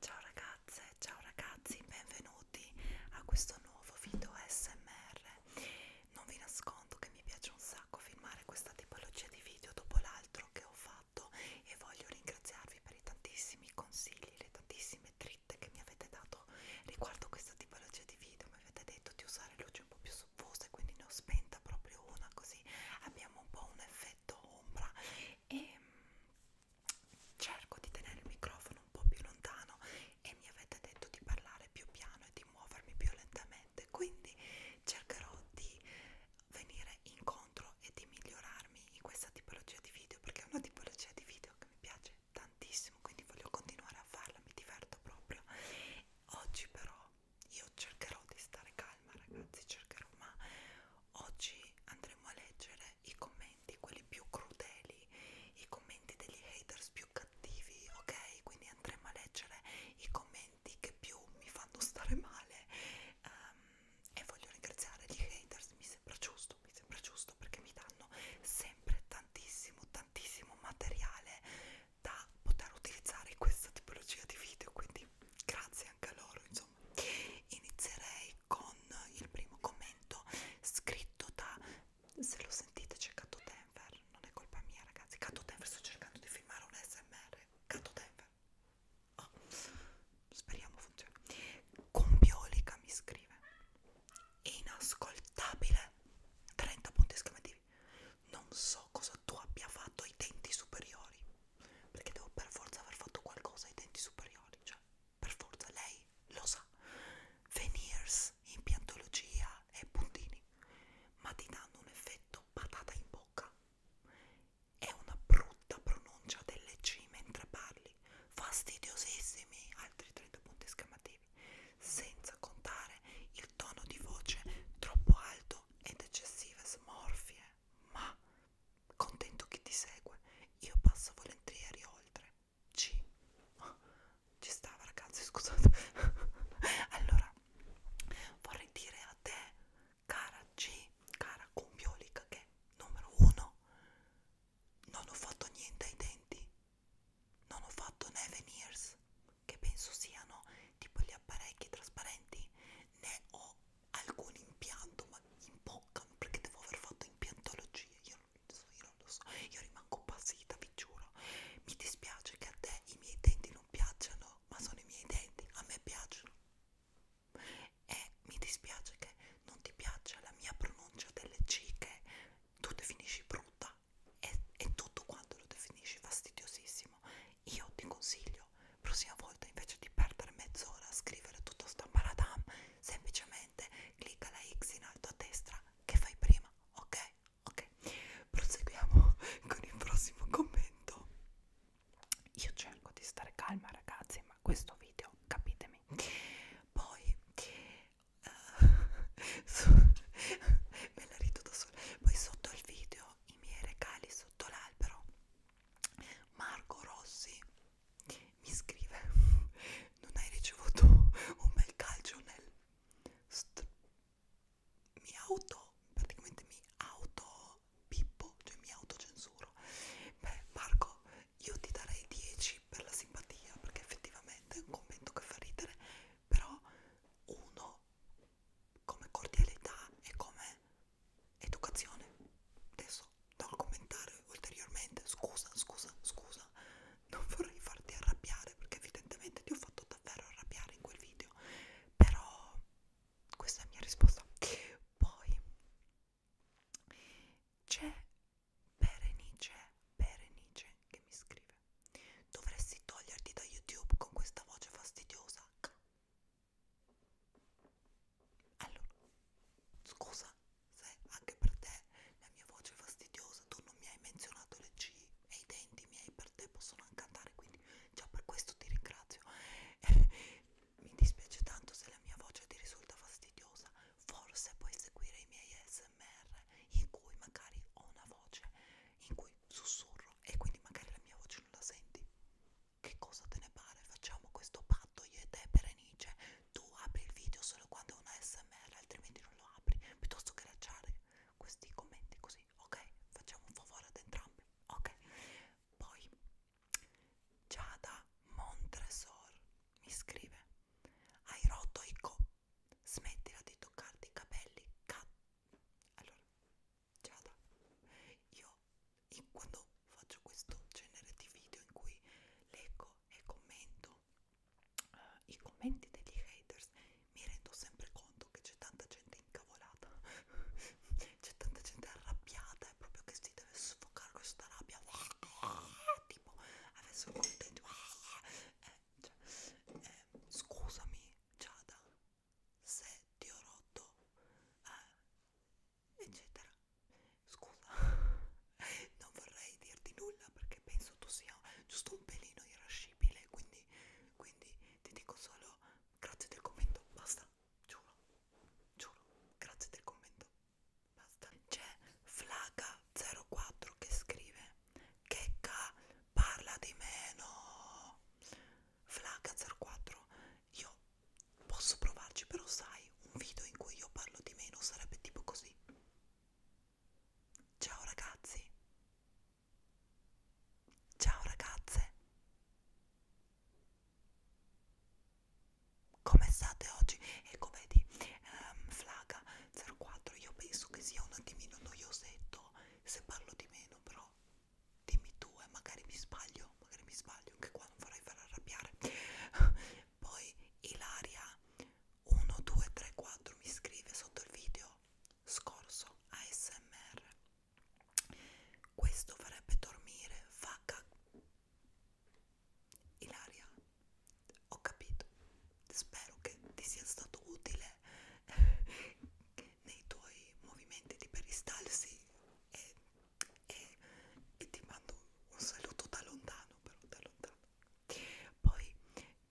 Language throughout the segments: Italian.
Ciao ragazze, ciao ragazzi, benvenuti a questo nuovo video SMR. Non vi nascondo che mi piace un sacco filmare questa tipologia di video dopo l'altro che ho fatto e voglio ringraziarvi per i tantissimi consigli, le tantissime dritte che mi avete dato riguardo questa tipologia di video. Mi avete detto di usare luci un po' più soffuse, quindi ne ho spenta proprio una così abbiamo un po' un effetto ombra e cerco di tenere il microfono un po' più lontano e mi avete detto di parlare più piano e di muovermi più lentamente quindi cercherò di venire incontro e di migliorarmi in questa tipologia di video perché è una tipologia di video che mi piace tantissimo quindi voglio continuare a farla mi diverto proprio oggi però io cercherò di stare calma ragazzi cercherò ma Oggi andremo a leggere i commenti, quelli più crudeli, i commenti degli haters più cattivi, ok? Quindi andremo a leggere i commenti che più mi fanno stare male um, e voglio ringraziare gli haters, mi sembra giusto, mi sembra giusto perché mi danno sempre tantissimo, tantissimo materiale da poter utilizzare in questa tipologia di video, quindi grazie neanche a loro insomma inizierei con il primo commento scritto da se lo sentite c'è Cato Denver non è colpa mia ragazzi Cato Denver sto cercando di filmare un smr Cato Denver oh. speriamo funzioni Combiolica mi scrive inascoltabile 30 punti esclamativi non so cosa tu abbia fatto ai denti superiori perché devo per forza aver fatto qualcosa ai denti superiori, cioè per forza lei lo sa. Veneers, impiantologia e puntini, ma ti danno un effetto patata in bocca. È una brutta pronuncia delle C mentre parli, fastidiosissimi, altri 30 punti esclamativi, senza contare il tono di voce troppo alto ed eccessive smorfie, ma Contento chi ti segue, io passo volentieri oltre. Ci, ci stava ragazzi, scusate. allora, vorrei dire a te, cara G, cara Combiolica, che numero uno, non ho fatto niente ai denti, non ho fatto né veneers, che penso siano tipo gli apparecchi trasparenti, né ho alcun impianto, ma impoccano perché devo aver fatto impiantologia, io non, so, io non lo so, io rimango basita, vi giuro. Mi dispiace che a te i miei denti non piacciono, ma sono i miei denti, a me piacciono. E mi dispiace che non ti piaccia la mia pronuncia delle C che tu definisci brutta e, e tutto quanto lo definisci fastidiosissimo io ti consiglio prossima volta invece di perdere mezz'ora a scrivere tutto sta maradam semplicemente clicca la X in alto a destra che fai prima ok ok proseguiamo con il prossimo commento io cerco di stare calma ragazzi ma questo video capitemi poi uh, me la rido da sola poi sotto il video sono i miei regali sotto l'albero Marco Rossi mi scrive non hai ricevuto un bel calcio nel mi auto praticamente mi auto pippo cioè mi autocensuro beh Marco io ti darei 10 per la simpatia perché effettivamente è un commento che fa ridere però uno come cordialità e come educazione. Adesso do un commentario ulteriormente, scusa, scusa, scusa, non vorrei farti arrabbiare perché evidentemente ti ho fatto davvero arrabbiare in quel video, però questa è la mia risposta. Poi c'è Berenice, Berenice che mi scrive Dovresti toglierti da YouTube con questa voce fastidiosa. Allora, scusa se anche per te la mia voce è fastidiosa, tu non mi hai menzionato le C e i denti miei per te possono anche andare, quindi già per questo ti ringrazio. mi dispiace tanto se la mia voce ti risulta fastidiosa, forse puoi seguire i miei SMR in cui magari ho una voce in cui sussurro e quindi magari la mia voce non la senti. Che cosa te ne pare? Facciamo questo patto io e te Berenice. Tu apri il video solo quando è una SMR, altrimenti non lo apri, piuttosto che lasciare questi commenti così, ok? Facciamo un favore ad entrambi, ok? Poi Giada Montresor mi scrive: Hai rotto i co. Smettila di toccarti i capelli, cazzo allora Giada io in, quando faccio questo genere di video in cui leggo e commento uh, i commenti degli haters mi rendo sempre conto che c'è tanta gente incavolata c'è tanta gente arrabbiata è proprio che si deve sfocare questa rabbia tipo adesso contento eh, cioè, eh, scusami Giada, se ti ho rotto, eh, eccetera. Scusa, non vorrei dirti nulla perché penso tu sia giusto un pelino irascibile, quindi, quindi ti dico solo grazie del commento, basta, giuro, giuro, grazie del commento, basta. C'è Flaga04 che scrive, che ca parla di meno Flaga 04 io posso provarci però sai un video in cui io parlo di meno sarebbe tipo così ciao ragazzi ciao ragazze come state oggi? Ecco vedi, um, Flaga 04, io penso che sia un attimino noiosetto so se parlo di meno, però dimmi tu e eh, magari mi sbaglio, magari mi sbaglio, anche qua non vorrei far arrabbiare. Poi Ilaria 1, 2, 3, 4 mi scrive sotto il video scorso ASMR. Questo farebbe dormire, vacca. Ilaria, ho capito spero che ti sia stato utile nei tuoi movimenti di peristalsi e, e, e ti mando un saluto da lontano però da lontano poi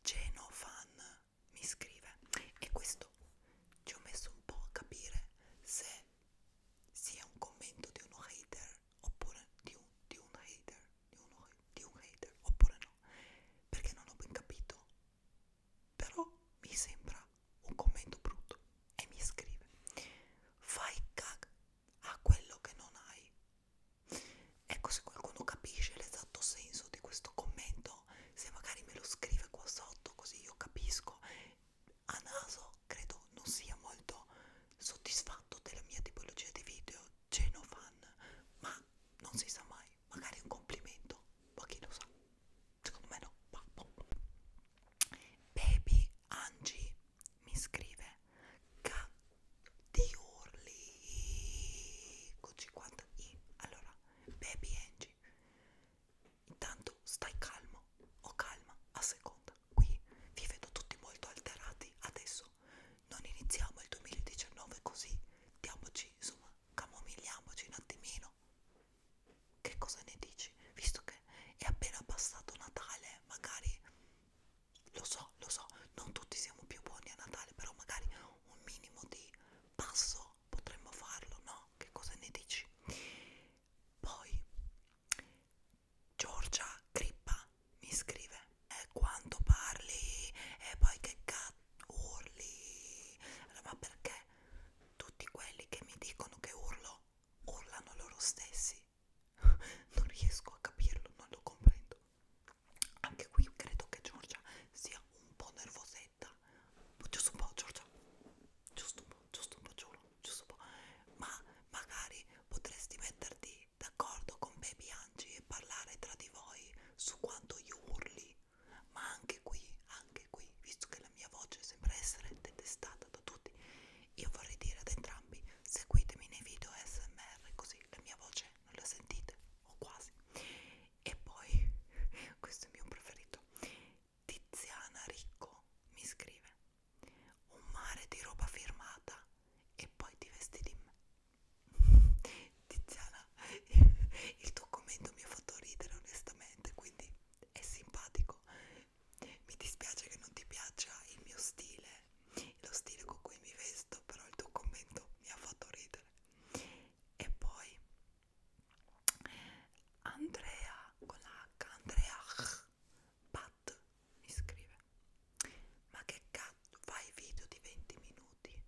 Genofan mi scrive e questo ci ho messo un po' a capire se sia un commento di uno hater oppure di un, di un hater di, uno, di un hater oppure no mio perché non ho ben capito però mi sembra un commento brutto e mi scrive fai cag a quello che non hai ecco se qualcuno capisce l'esatto senso di questo commento se magari me lo scrive qua sotto così io capisco a naso credo non sia molto soddisfatto della mia tipologia di video genofan ma non si sa mai, magari un complimento, ma chi lo sa, secondo me no, ma boh. Baby Angie mi scrive K di Urli con 50 i. Allora, Baby Angie, intanto stai calmo o calma a seconda. Qui vi vedo tutti molto alterati adesso no, non iniziamo il 2019 così, diamoci, insomma, camomigliamoci un attimino. Che cosa ne dici? Visto che è appena passato Natale, magari, lo so, lo so, non tutti siamo più buoni a Natale, però magari un minimo di passo potremmo farlo, no? Che cosa ne dici? Poi Giorgia Crippa mi scrive eh, quanto parli e poi che cazzo urli allora, ma perché tutti quelli che mi dicono che urlo urlano loro stessi non riesco a capirlo non lo comprendo anche qui credo che Giorgia sia un po' nervosetta giusto un po' Giorgia giusto un po' giusto un po' giuro giusto un po' ma magari potresti metterti d'accordo con Baby Angie e parlare tra di voi su quanto io urli, ma anche qui, anche qui, visto che la mia voce sembra essere detestata da tutti, io vorrei dire ad entrambi seguitemi nei video SMR così la mia voce non la sentite o quasi. E poi questo è il mio preferito. Tiziana Ricco mi scrive un mare di roba firmata e poi ti vesti di me. Tiziana, il tuo commento mi ha fatto ridere onestamente, quindi è simpatico. Mi dispiace che non ti piaccia il mio stile, lo stile con cui mi vesto, però il tuo commento mi ha fatto ridere. E poi Andrea con la H, Andrea H cat mi scrive ma che cazzo fai video di 20 minuti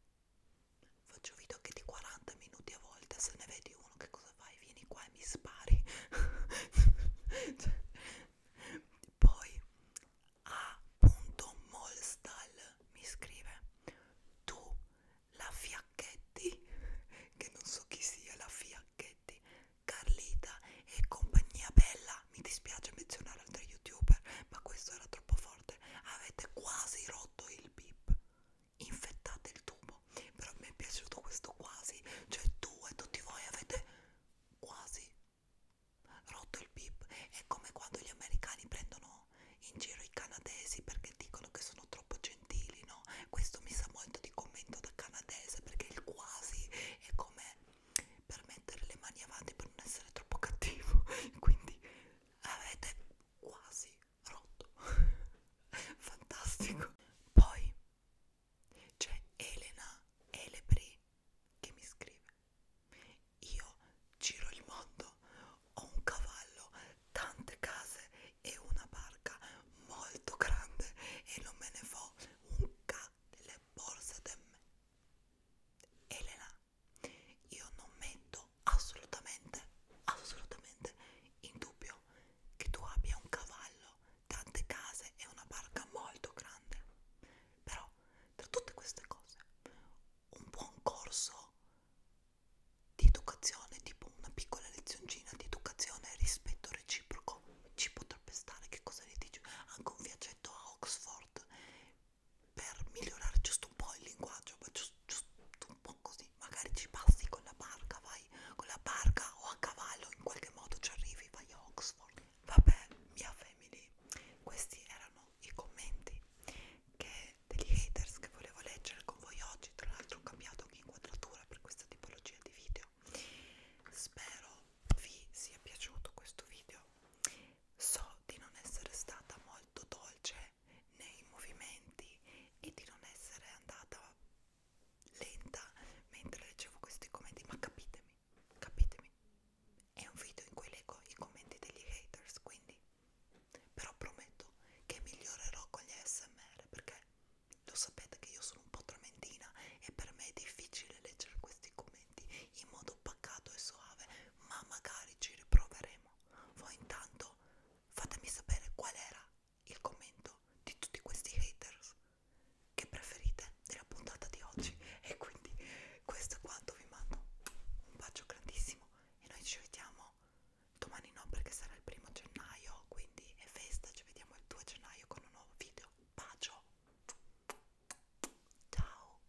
faccio video anche di 40 minuti a volte se ne vedi uno che cosa fai vieni qua e mi spari cioè, poi a.molstal mi scrive tu la fiacchetti che non so chi sia la fiacchetti Carlita e compagnia bella, mi dispiace menzionare altri youtuber, ma questo era troppo forte. Avete quasi rotto il bip, infettate il tubo. Però mi è piaciuto questo quasi, cioè tu e tutti voi avete quasi rotto il bip. È come quando gli americani prendono in giro i canadesi perché dicono che sono troppo gentili, no? Questo mi sa molto di commento da canadese perché il quasi è come per mettere le mani avanti per non essere troppo cattivo quindi avete quasi rotto fantastico poi c'è Elena Elebri che mi scrive io giro il mondo ho un cavallo tante case e una barca molto grande e non me ne fo un cazzo le borse da me. Elena, io non metto assolutamente, assolutamente in dubbio che tu abbia un cavallo, tante case e una barca molto grande. Però, tra tutte queste cose, un buon corso di educazione, tipo una piccola lezioncina di educazione rispetto reciproco, ci potrebbe potrebbe stare, che cosa ne dici? Anche un viaggetto a Oxford per migliorare giusto un po' il linguaggio, ma giusto, giusto un po' così, magari ci passi con la barca, vai con la barca o a cavallo, in qualche modo ci arrivi, vai a Oxford. Vabbè, mia family, questi erano i commenti che degli haters che volevo leggere con voi oggi, tra l'altro ho cambiato anche inquadratura per questa tipologia di video video spero vi sia piaciuto questo video so di non essere stata molto dolce nei movimenti e di non essere andata lenta mentre leggevo questi commenti ma capitemi capitemi è un video in cui leggo i commenti degli haters quindi però prometto che migliorerò con gli ASMR perché lo sapete che io sono un po' trementina e per me è difficile leggere questi commenti in modo pacato e soave, ma magari ci riproveremo. Voi intanto fatemi sapere qual era il commento di tutti questi haters che preferite della puntata di oggi. E quindi questo è quanto vi mando. Un bacio grandissimo e noi ci vediamo domani no perché sarà il primo gennaio, quindi è festa, ci vediamo il 2 gennaio con con un nuovo video. Bacio! Ciao!